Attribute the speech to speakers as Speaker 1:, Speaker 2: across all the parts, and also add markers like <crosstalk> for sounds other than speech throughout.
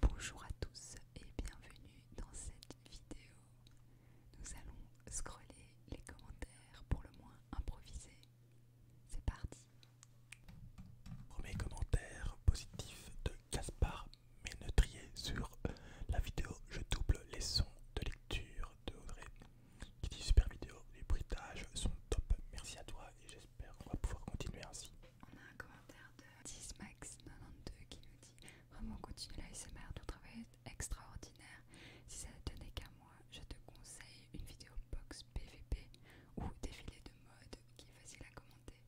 Speaker 1: Bonjour à tous et bienvenue dans cette vidéo. Nous allons
Speaker 2: scroller les commentaires pour le moins improviser C'est parti. Premier commentaire positif de Caspar Ménetrier sur la vidéo Je double les sons de lecture de Audrey qui dit super vidéo, les bruitages sont top. Merci à toi et j'espère qu'on va pouvoir continuer ainsi. On a un commentaire de 10max92 qui nous dit Vraiment continue la
Speaker 1: SMR, ton travail est extraordinaire. Si ça ne tenait qu'à moi, je te conseille une vidéo
Speaker 2: box PVP ou défilé de mode qui est facile à commenter.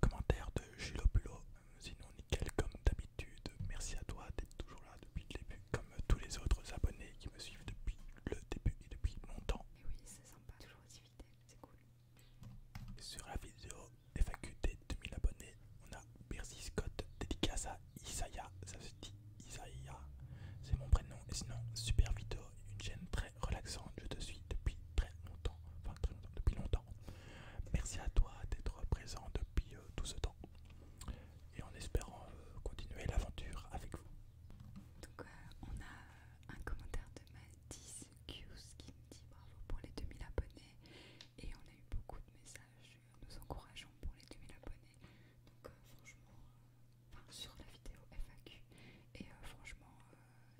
Speaker 2: commentaire de Gilopulo, sinon nickel comme d'habitude. Merci à toi d'être toujours là depuis le début, comme tous les autres abonnés qui me suivent depuis le début et depuis longtemps. Et oui, c'est sympa, toujours sur la vidéo des 2000 abonnés, on a Percy Scott dédicace à Isaiah, ça se dit Isaiah, c'est mon prénom. Et sinon, super vidéo, une chaîne très relaxante, je te suis depuis très longtemps, enfin très longtemps, depuis longtemps. Merci à toi d'être présent depuis euh, tout ce temps et en espérant euh, continuer l'aventure avec vous. Euh, on a un commentaire de Mathis Cuse qui me dit bravo
Speaker 1: pour les 2000 abonnés et on a eu beaucoup de messages euh, nous encourageant pour les 2000 abonnés donc euh, franchement euh, sur la vidéo FAQ et franchement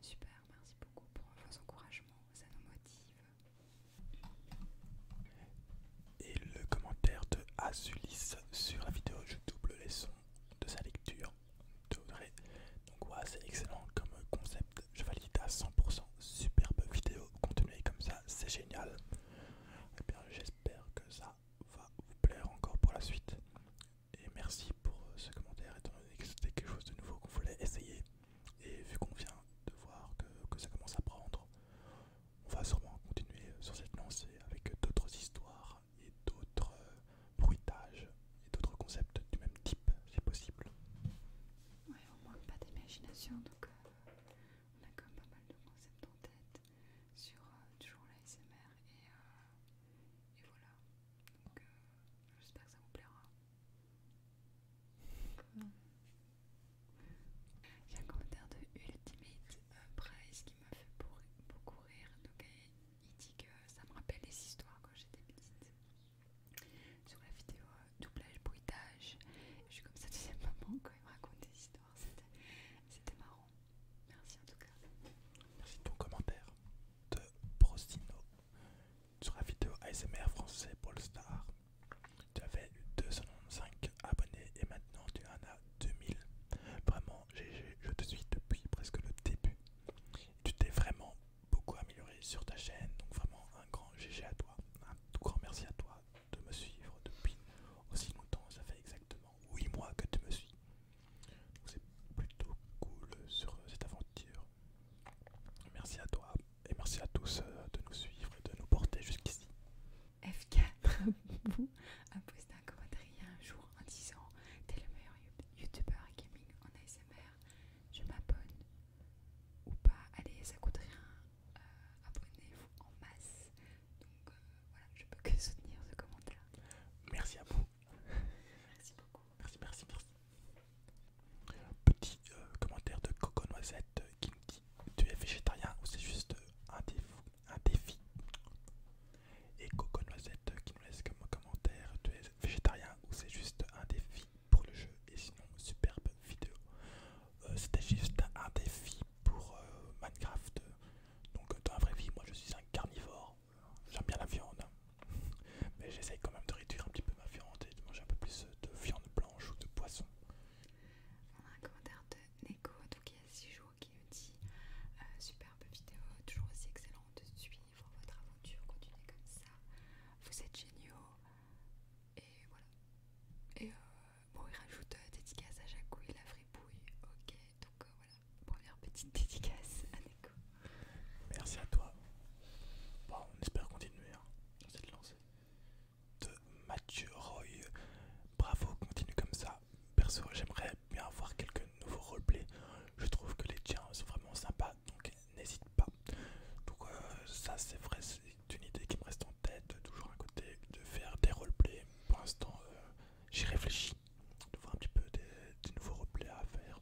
Speaker 1: super merci beaucoup pour vos encouragements ça nous
Speaker 2: motive et le commentaire de Azulis sur la vidéo je double les sons de sa lecture Donc voilà, c'est excellent comme concept, je valide à 100%, superbe vidéo, continuez comme ça, c'est génial. Et eh bien j'espère que ça va vous plaire encore pour la suite. Et merci pour ce commentaire, étant donné que c'était quelque chose de nouveau qu'on voulait essayer. Et vu qu'on vient de voir que, ça commence à prendre, on va sûrement continuer sur cette lancée avec d'autres histoires et d'autres euh, bruitage et d'autres concepts du même type, si possible. Ouais, on manque pas d'imagination,
Speaker 1: donc euh, on a quand même pas mal de concepts en tête sur euh, toujours l'ASMR euh, et, voilà. Donc j'espère que ça vous plaira. Il y a un commentaire de Ultimate Price qui m'a fait beaucoup rire, donc il dit que ça me rappelle les histoires quand j'étais petite. Sur la vidéo euh, doublage bruitage, je suis comme ça, tu sais, maman, quand il me raconte des histoires, c'était marrant. Merci en tout cas. Merci ton commentaire de Prostino
Speaker 2: sur la vidéo ASMR français Paul Star. Tu avais eu 295 abonnés et maintenant tu en as 2000. Vraiment, je te suis depuis presque le début. Tu t'es vraiment beaucoup amélioré sur ta chaîne. Donc vraiment un grand GG à toi. Un tout grand merci à toi de me suivre depuis aussi longtemps. Ça fait exactement 8 mois que tu me suis. c'est plutôt cool sur cette aventure. Merci à toi et merci à tous euh, de nous suivre et de nous porter jusqu'ici.
Speaker 1: F4 <laughs> vous a posté un commentaire il y a un jour en disant T'es le meilleur youtubeur gaming en ASMR je m'abonne ou pas. Allez, ça coûte rien. Euh, abonnez-vous en
Speaker 2: masse. Donc euh, voilà, je peux que soutenir ce commentaire. Merci à vous. merci beaucoup. Merci, merci, merci. Petit euh, commentaire de Coco Noisette qui nous dit Tu es végétarien ou c'est juste un défi, un défi Et Coco Noisette qui nous laisse comme commentaire Tu es végétarien ou c'est juste un défi pour le jeu et sinon superbe vidéo euh, c'était juste un défi pour euh, Minecraft donc dans la vraie vie moi je suis un carnivore j'aime bien la viande <laughs> mais j'essaye quand même de réduire un petit peu ma viande et de manger un peu plus de viande blanche ou de poisson on a un
Speaker 1: commentaire de Neko donc il y a 6 jours qui nous dit euh, superbe vidéo toujours aussi excellente suite pour votre aventure, continuez comme ça. Vous êtes géniaux. Et voilà. Et euh, bon, il rajoute euh, dédicace à il la fripouille. Ok,
Speaker 2: donc euh, voilà. Première petite dédicace à Neko. Merci à toi. Bon, on espère continuer hein. on De Mathieu Roy. Bravo, continue comme ça. Perso, j'aimerais bien avoir quelques nouveaux roleplays. Je trouve que les tiens sont vraiment sympas, donc n'hésite pas. Donc euh, ça c'est vrai, c'est une idée qui me reste en tête, toujours à côté de faire des roleplays. Pour l'instant, euh, j'y réfléchis, de voir un petit peu des, nouveaux roleplays à faire.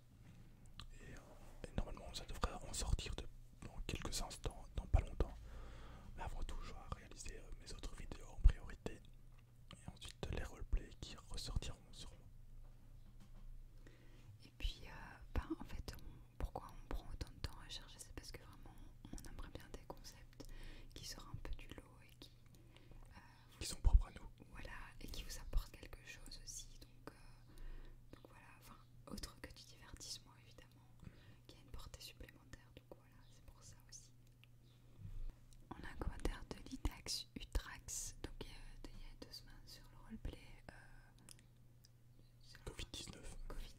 Speaker 2: Euh, et, normalement, ça devrait en sortir dans quelques instants, dans pas longtemps. Mais avant tout, je vais réaliser mes autres vidéos en priorité. Et ensuite les roleplays qui ressortiront sûrement. Et puis, euh, ben, en fait,
Speaker 1: pourquoi on prend autant de temps à chercher C'est parce que vraiment, on aimerait bien des concepts qui sortent un peu du lot et qui. Euh, sont propres à nous. Voilà, et qui vous apportent quelque chose aussi. Euh, donc, voilà, enfin, autre que du divertissement évidemment, qui a une portée supplémentaire. Donc voilà, c'est pour ça aussi. On a un commentaire de Litax Utrax, donc il y, a, deux semaines sur le roleplay Covid-19. Euh, covid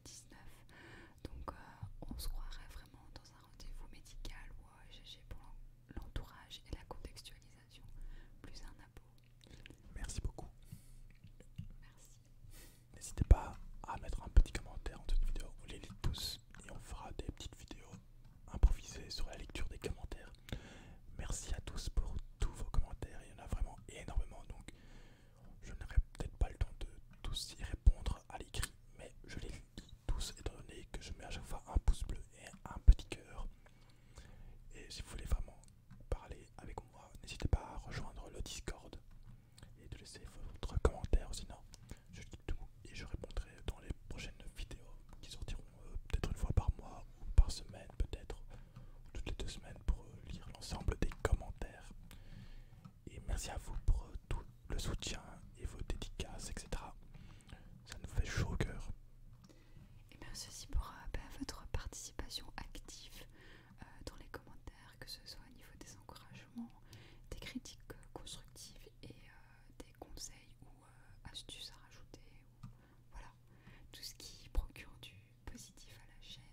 Speaker 1: Donc euh, on se croirait vraiment dans un rendez-vous médical ou euh, pour l'entourage et la contextualisation, plus un abo. Merci beaucoup. Merci.
Speaker 2: N'hésitez pas à mettre un petit commentaire en toute vidéo, on les lit tous et on fera des petites vidéos improvisées sur la lecture des commentaires. Merci à tous pour tous vos commentaires, il y en a vraiment énormément, donc je n'aurai peut-être pas le temps de tous y répondre à l'écrit, mais je les lis tous étant donné que je mets à chaque fois un pouce bleu et un petit cœur. Et si vous voulez vraiment parler avec moi, n'hésitez pas à rejoindre le Discord et de laisser votre commentaire, sinon je dis tout et je répondrai dans les prochaines vidéos qui sortiront euh, peut-être une fois par mois ou par semaine peut-être toutes les deux semaines pour euh, lire l'ensemble des commentaires. Et merci à vous pour euh, tout le soutien et vos dédicaces, etc. Ça nous fait chaud au cœur. Et eh merci aussi pour euh,
Speaker 1: bah, votre participation active dans les commentaires, que ce soit au niveau des encouragements, des critiques constructives et des conseils ou astuces à rajouter voilà, tout ce qui procure du positif à la chaîne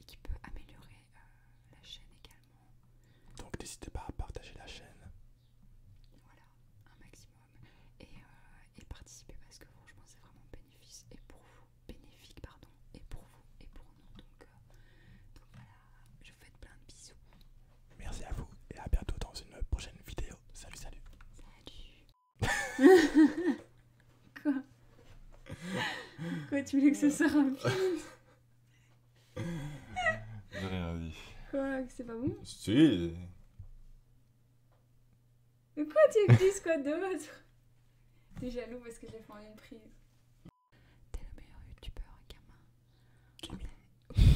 Speaker 2: et qui peut, améliorer euh, la chaîne également. Donc n'hésitez pas à partager la chaîne. Voilà, un maximum. Et,
Speaker 1: euh, participer parce que franchement c'est vraiment bénéfice et pour vous, bénéfique pardon, et pour vous et pour nous. donc euh,
Speaker 2: voilà, je vous fais plein de bisous. Merci à vous et à bientôt dans une prochaine vidéo salut, salut.
Speaker 1: Salut. <laughs> Quoi Quoi, tu voulais que ce soit un <laughs> J'ai rien dit. Quoi, que c'est pas bon Si. Mais quoi, tu veux quoi de votre <laughs> T'es jaloux parce que
Speaker 2: j'ai fait en une prise. T'es le meilleur youtubeur, gamin.